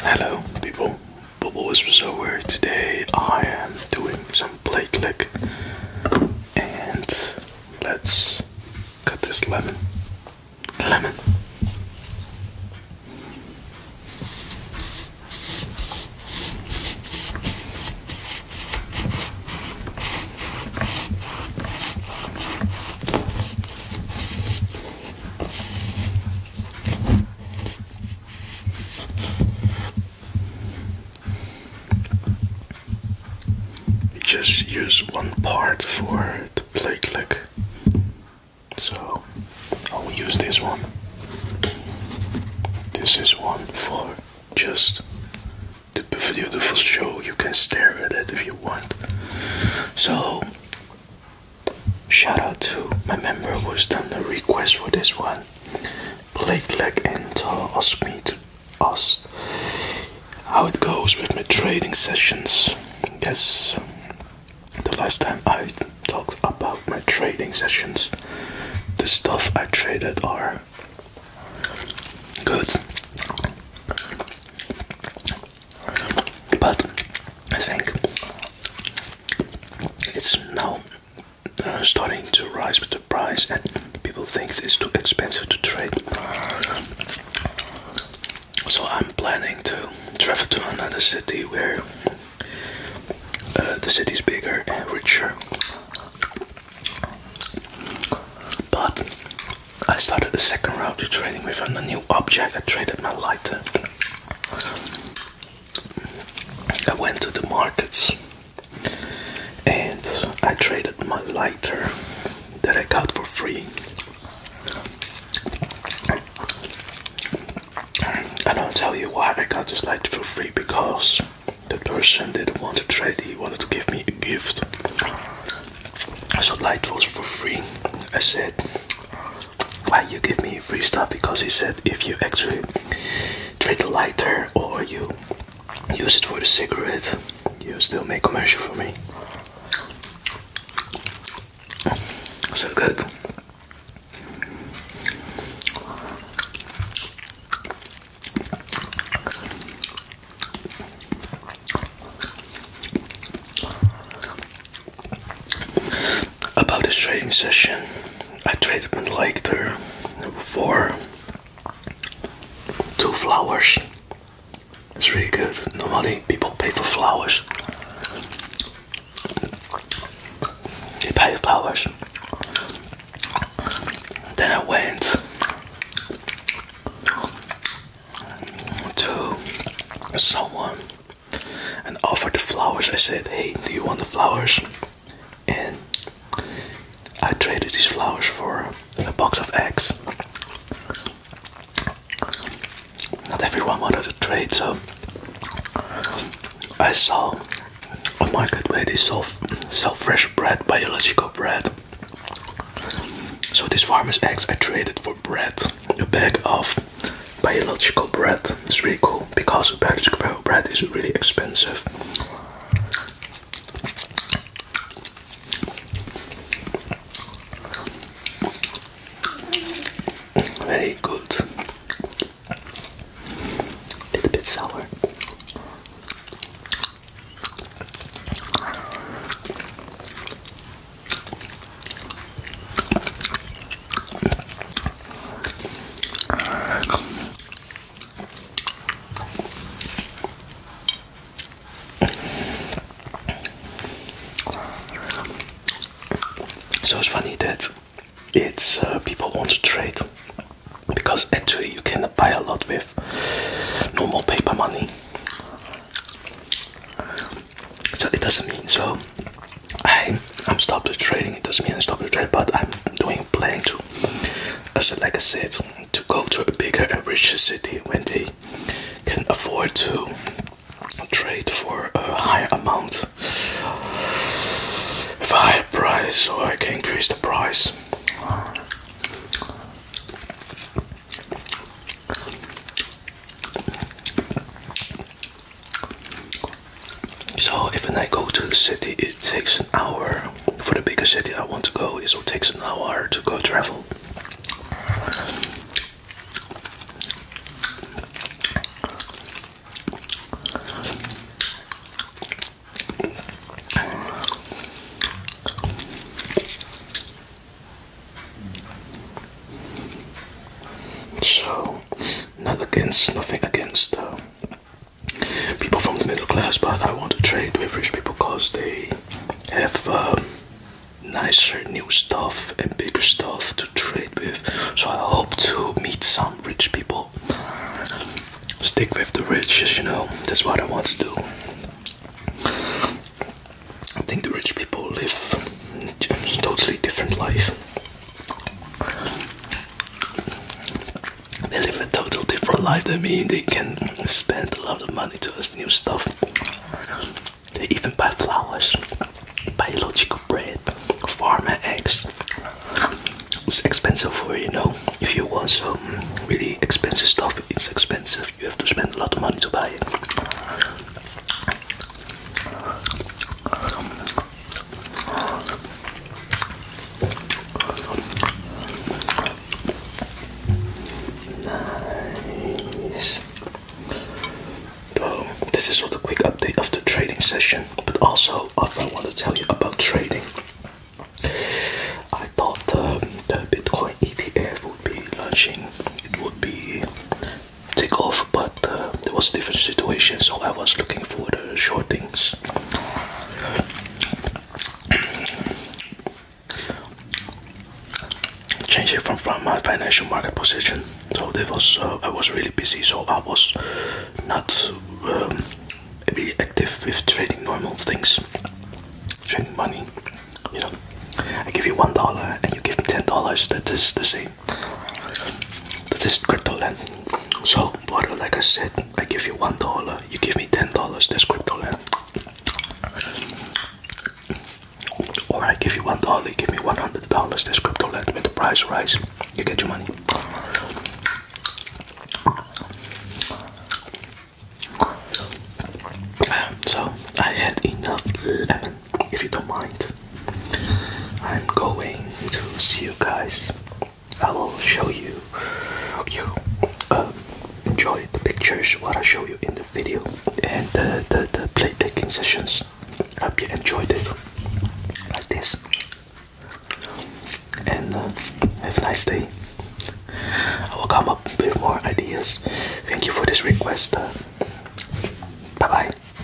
Hello people, Bubble Whisperer. Today I am doing some plate lick, and let's cut this lemon. Lemon. Just use one part for the play click. So I'll use this one. This is one for just the beautiful show. You can stare at it if you want. So Shout out to my member who's done the request for this one. Blake Leg and uh, asked me to ask how it goes with my trading sessions. Yes, the last time I talked about my trading sessions, the stuff I traded are good. But I think it's now uh, starting to rise with the price, and people think it's too expensive to trade. So I'm planning to travel to another city where uh, the city is bigger and richer. But I started the second round of trading with a new object. I traded my lighter I went to the markets and I traded my lighter that I got for free. I don't tell you why I got this lighter for free because the person didn't want to trade, he wanted to give me a gift. So light was for free. I said why you give me free stuff because he said if you actually trade the lighter or you use it for the cigarette you still make commercial for me so good about this trading session. I traded with Lighter for two flowers. It's really good. Normally people pay for flowers. They pay flowers. Then I went to someone and offered the flowers. I said, Hey, do you want the flowers? And I traded these flowers for a box of eggs. Not everyone wanted to trade, so I saw a market where they sell, sell fresh bread, biological bread. So these farmer's eggs I traded for bread, a bag of biological bread. It's really cool because biological bread is really expensive. Very good. A bit sour. So it's funny that it's uh, people want to trade because actually you cannot buy a lot with normal paper money so it doesn't mean so I I'm stopped with trading. It doesn't mean I stopped with trade, but I'm doing planning to, as like I said, to go to a bigger and richer city when they can afford to trade for a higher amount, for a higher price, so I can increase the price. So if I go to the city, it takes an hour. For the bigger city I want to go, it will take an hour to go travel. So not against nothing against um, people from the middle class, but I want to trade with rich people because they have um, nicer new stuff and bigger stuff to trade with. So I hope to meet some rich people. Stick with the rich, as you know, that's what I want to do. I think the rich people live a totally different life. They live a total different life than me. They can spend a lot of money to us new stuff. They even buy flowers, biological bread, farmer eggs. It's expensive for you know. If you want some really expensive stuff, it's expensive. You have to spend a lot of money to buy it. Nice. So, this is sort of a quick update of the trading session, but also I want to tell you about trading. I thought um, the Bitcoin ETF would be launching. It would be take off, but uh, there was a different situation, so I was looking for the short things. Change it from, from my financial market position. So that was uh, I was really busy, so I was not very um, active with trading normal things, trading money. You know, I give you one dollar and you give me ten dollars. That is the same. This is crypto land. So, water, like I said, I give you one dollar, you give me ten dollars. That's crypto land. Or I give you one dollar, give me one hundred dollars. That's crypto land. When the price rise, you get your money. So I had enough lemon if you don't mind. I'm going to see you guys. I will show you. You um, enjoy the pictures what I show you in the video and the the, the play taking sessions. I hope you enjoyed it like this. And uh, have a nice day. I will come up with more ideas. Thank you for this request. Uh, bye bye.